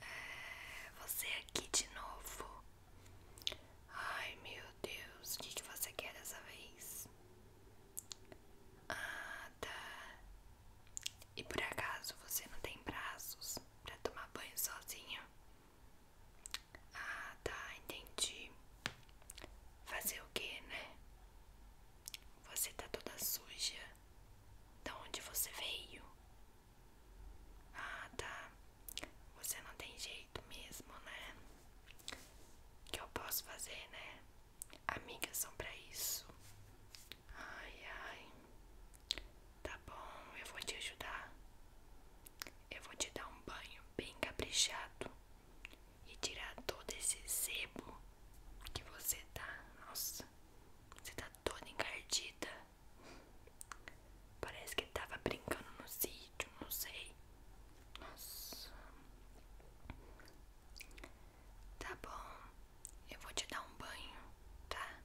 É, você aqui de novo. Ai meu Deus, o que, que você quer dessa vez? Ah, tá. E por acaso você não tem braços para tomar banho sozinho? Ah, tá, entendi. Fazer o que, né? Você tá toda suja. de onde você veio? Ah, tá. Você não tem jeito mesmo, né? O que eu posso fazer, né? Amigas são pra isso. Ai, ai. Tá bom, eu vou te ajudar. Eu vou te dar um banho bem caprichado e tirar todo esse sebo que você tá. Nossa, você tá toda encardida. Parece que tava brincando no sítio, não sei. Nossa. Tá bom, eu vou te dar um banho, tá?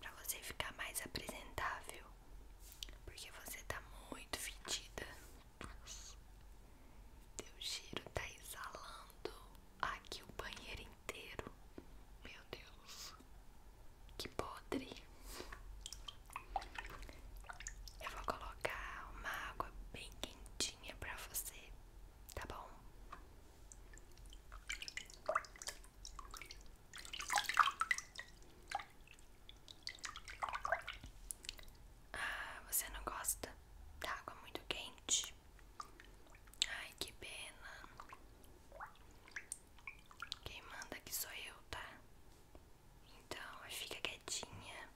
Pra você ficar mais apresentável. Porque você tá muito fedida. Teu giro tá exalando aqui o banheiro inteiro. Meu Deus, que podre! Eu vou colocar uma água bem quentinha pra você, tá bom? Ah, você não gosta da água muito quente? Ai, que pena. Quem manda aqui sou eu, tá? Então, fica quietinha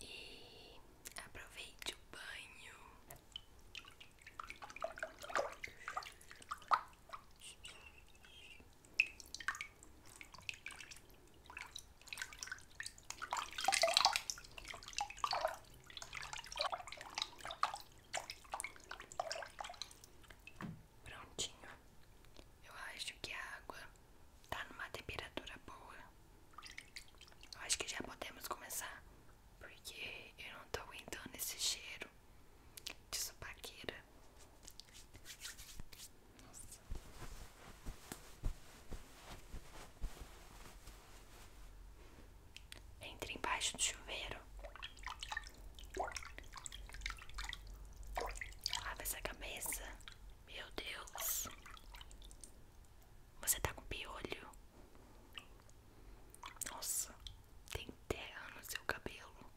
e aproveite o banho. Prontinho. Eu acho que a água tá numa temperatura boa. Eu acho que já podemos começar, porque eu não tô aguentando esse cheiro de supaqueira. Nossa. Entre embaixo do chuveiro. Lava essa cabeça. Meu Deus. Você tá com piolho. Nossa, tem terra no seu cabelo.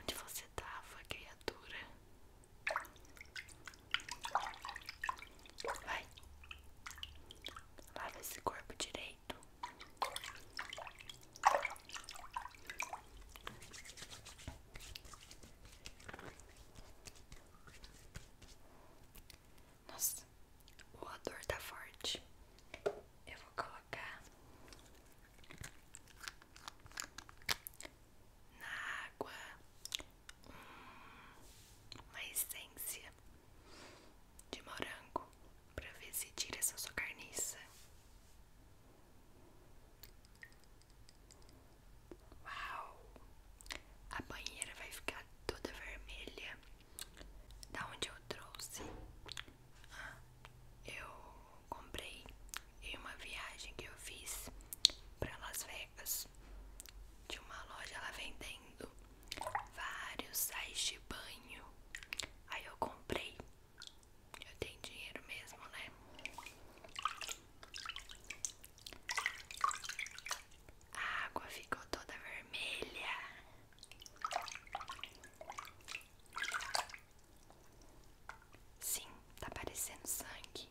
Onde você tava, criatura? Vai. Lava esse corpo direito. Nossa, o odor tá forte. Eu vou colocar na água hum, uma essência de morango para ver se tira essa sua carniça. Uau! A banheira vai ficar toda vermelha. Da onde eu trouxe, ah, eu comprei em uma viagem que eu fiz para Las Vegas. De uma loja lá vendendo vários sais de banho. Aí eu comprei. Eu tenho dinheiro mesmo, né? A água ficou toda vermelha. Sim, tá parecendo sangue.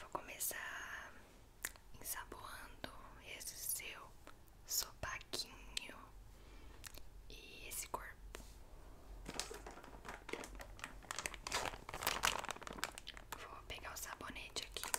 Vou começar ensaboando esse seu sopaquinho e esse corpo. Vou pegar o sabonete aqui.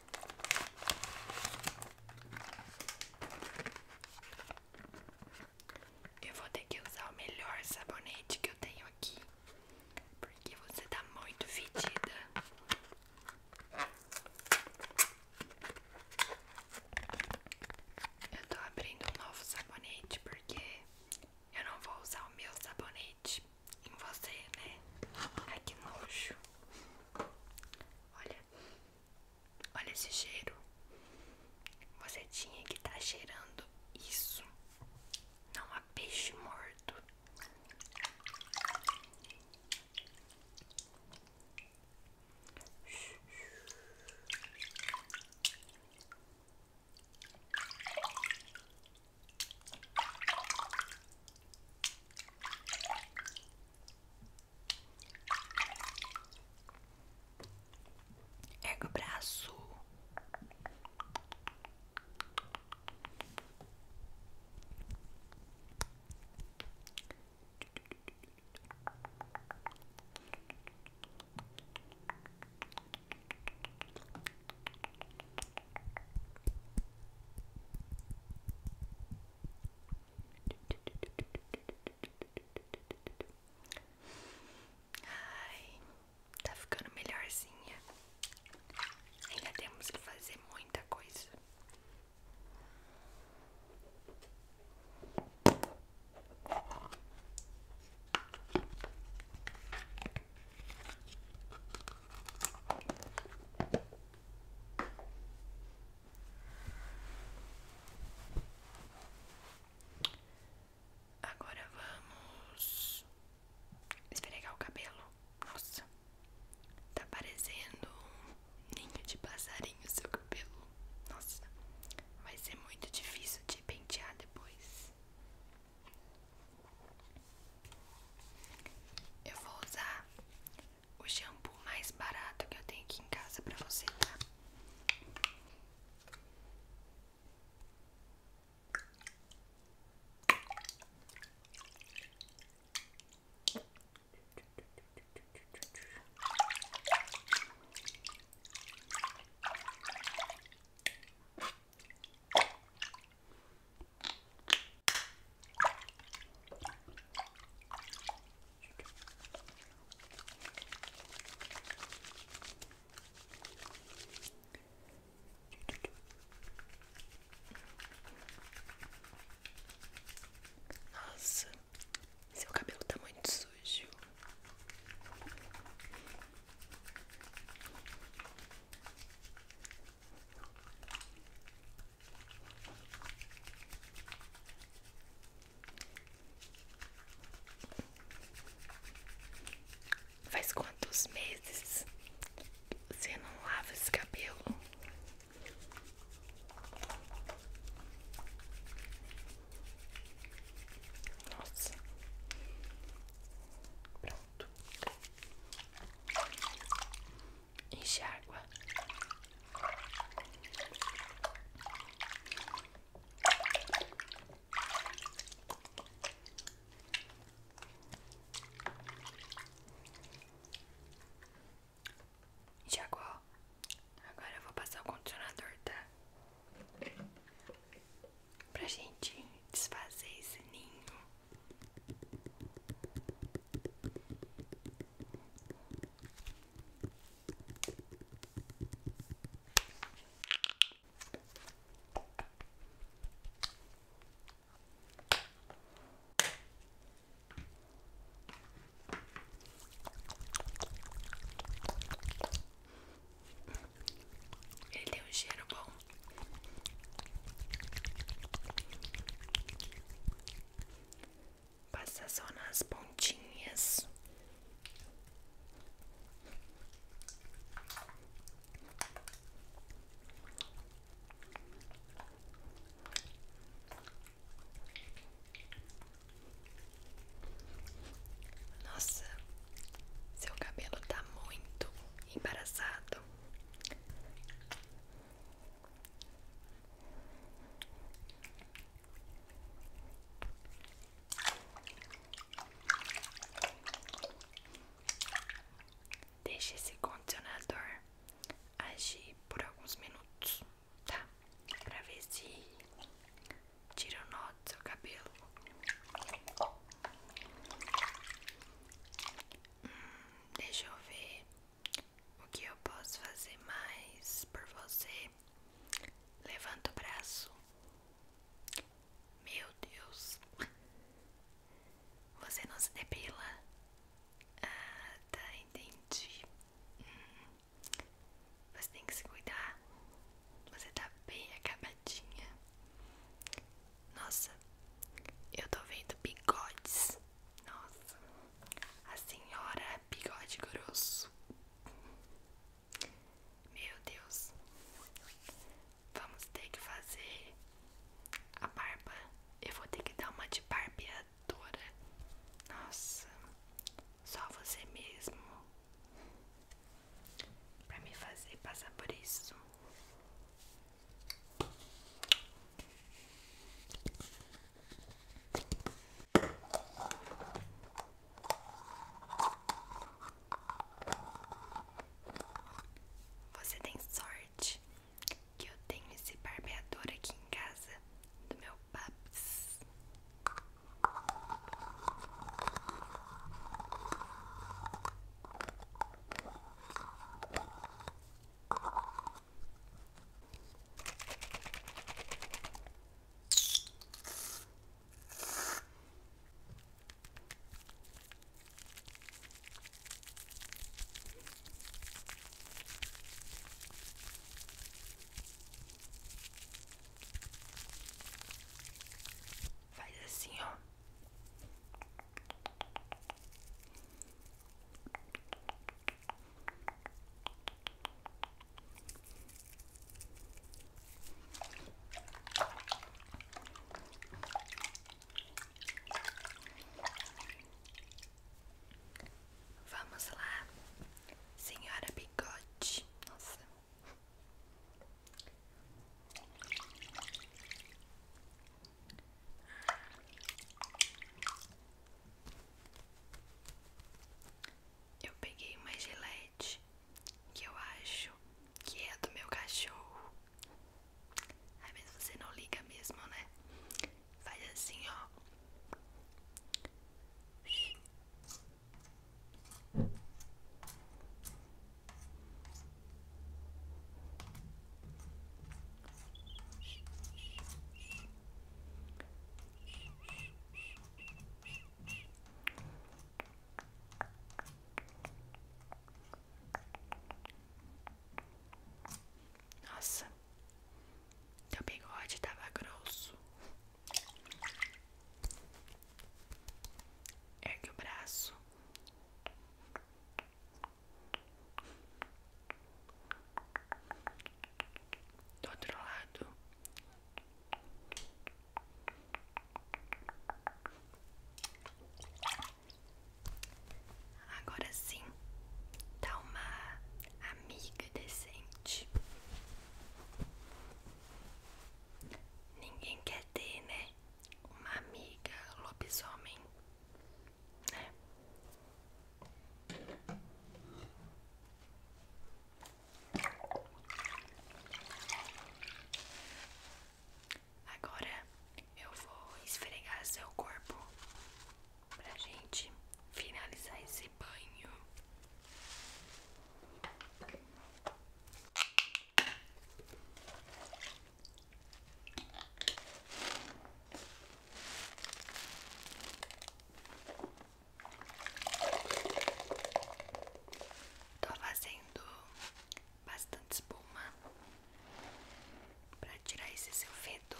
Eu vou ter que usar o melhor sabonete que eu tenho aqui, porque você tá muito fedida. Eu tô abrindo um novo sabonete porque eu não vou usar o meu sabonete em você, né? Ai que nojo! Olha Olha esse cheiro. Você tinha que estar tá cheirando isso. Não há peixe morto. Erga o braço. Ai, tá ficando melhorzinha. Ainda temos que fazer muita coisa. Agora vamos esfregar o cabelo. Nossa, tá parecendo um ninho de passarinho seu cabelo. Nossa, vai ser muito difícil de pentear depois. Eu vou usar o shampoo mais barato que eu tenho aqui em casa para você, tá? Nossa, seu cabelo tá muito sujo. Faz quantos meses você não lava esse cabelo? Nossa, pronto enxágua. água, Agora eu vou passar o condicionador, tá? Pra gente desfazer esse ninho ele tem um cheiro bom. Passa só nas pontinhas. Nossa, seu cabelo tá muito embaraçado. Deixe esse condicionador agir por alguns minutos, tá? Pra ver se tira o nó do seu cabelo. Hum deixa eu ver o que eu posso fazer mais por você. Levanta o braço. Meu Deus. Você não se depila? Ah, tá, entendi. Hum. Você tem que se cuidar. Você tá bem acabadinha. Nossa, eu tô vendo bigodes. Nossa, a senhora é bigode grosso. Meu Deus, vamos ter que fazer a barba. Eu vou ter que dar uma de barbeadora. Nossa, só você mesmo pra me fazer passar por isso. Você tem sorte que eu tenho esse barbeador aqui em casa do meu paps. Faz assim, ó. Vamos lá, senhora bigode. Nossa. Eu peguei uma gelete que eu acho que é do meu cachorro. aí mas você não liga mesmo, né? Faz assim, ó. Nossa, teu bigode tava grosso. Ergue o braço do outro lado. Agora sim, tá uma amiga decente. Ninguém quer ter, né? uma amiga lobisomem, né? Agora eu vou esfregar seu corpo pra gente finalizar esse banho. Estou fazendo bastante espuma para tirar esse seu fedor.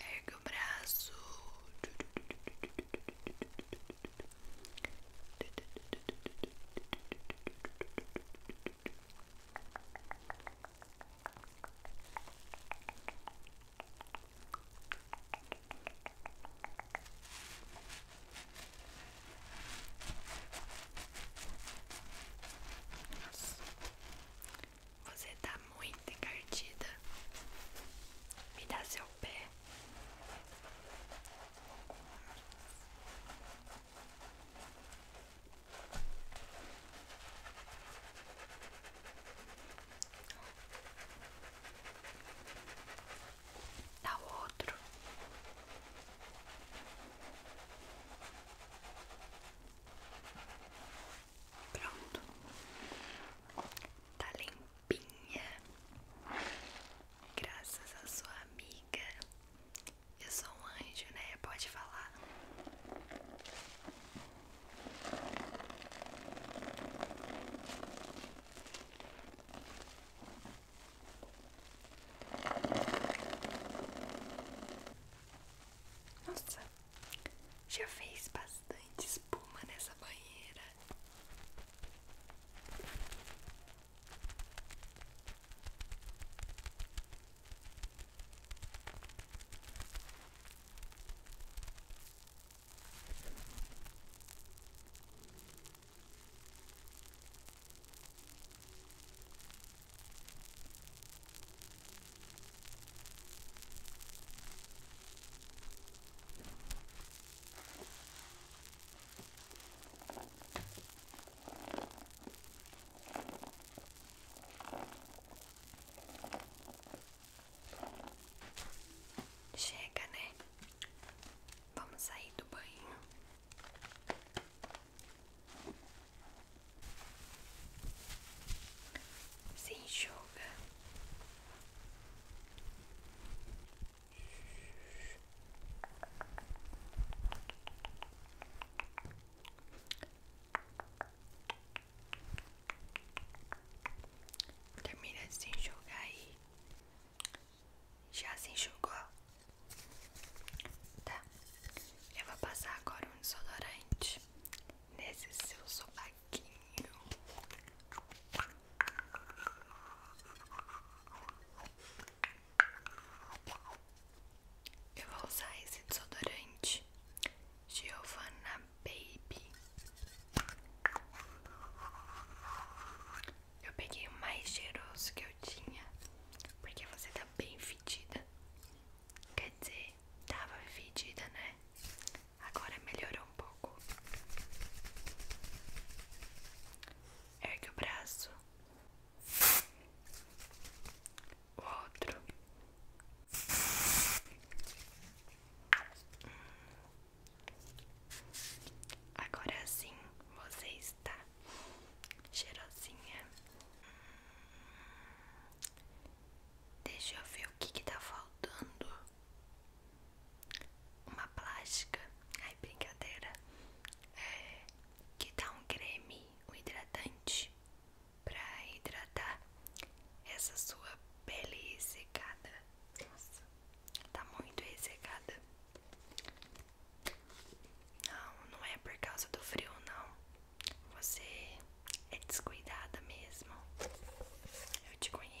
ergue o braço. Nossa. Você tá muito encardida. Me dá seu pé. Dá outro. Pronto. Tá limpinha. Graças a sua amiga. Eu sou um anjo, né? Pode falar. Nossa, já fez bastante espuma nessa banheira. Chega, né? Vamos sair do banho se enxuga termina de se enxugar aí já se enxugou tá eu vou passar agora um desodorante nesse seu sovaquinho. Eu vou usar esse desodorante Giovanna Baby. Eu peguei o mais cheiroso que eu tinha, porque você tá bem fedida. Quer dizer, tava fedida, né? Agora melhorou um pouco. Ergue o braço. O outro. Agora sim você está cheirosinha. Deixa eu ver o que, que tá faltando. Uma plástica. Ai, brincadeira. É, que dá um creme, um hidratante pra hidratar essa sua pele ressecada. Nossa, tá muito ressecada. Não, não é por causa do frio, não. Você é descuidada mesmo. Eu te conheço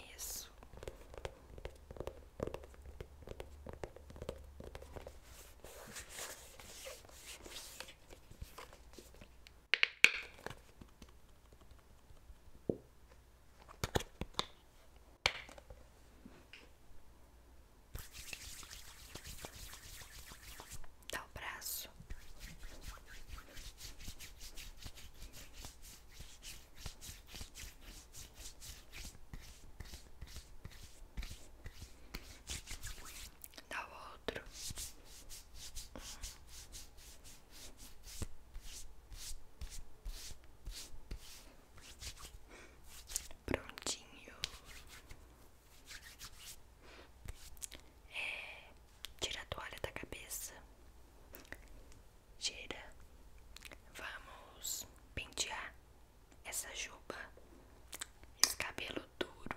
dá o braço. Dá outro. Prontinho. É, tira a toalha da cabeça. Tira. Vamos pentear essa juba. Esse cabelo duro.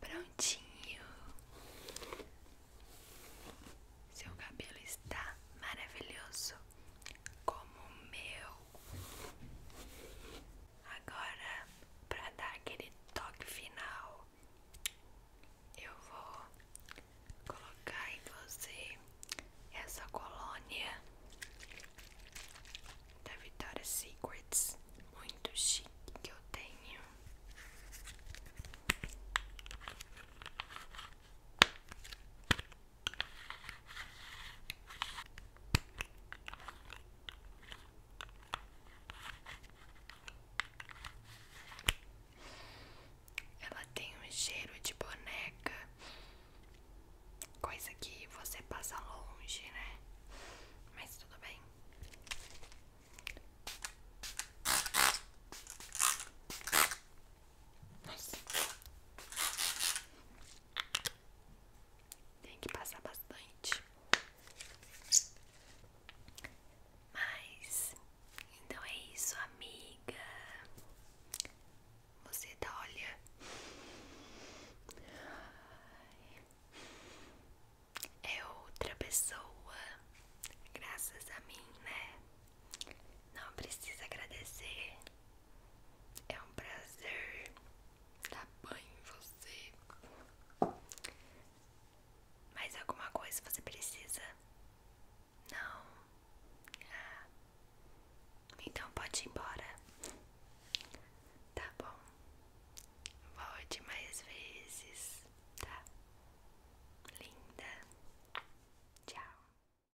Prontinho. Seu cabelo está maravilhoso como o meu. Agora, para dar aquele toque final, eu vou colocar em você essa colônia da Vitória Secrets, muito chique que eu tenho. Ela tem um cheiro de boneca, coisa que você passa longe, né? Mas tudo bem. Nossa. Tem que passar bastante. Mas então é isso, amiga. Você tá olha. É outra pessoa, graças a mim, né? Não precisa agradecer, é um prazer dar banho em você. Mais alguma coisa você precisa? Não. Ah. Então pode ir embora. Tá bom. Volte mais vezes, tá? Linda. Tchau.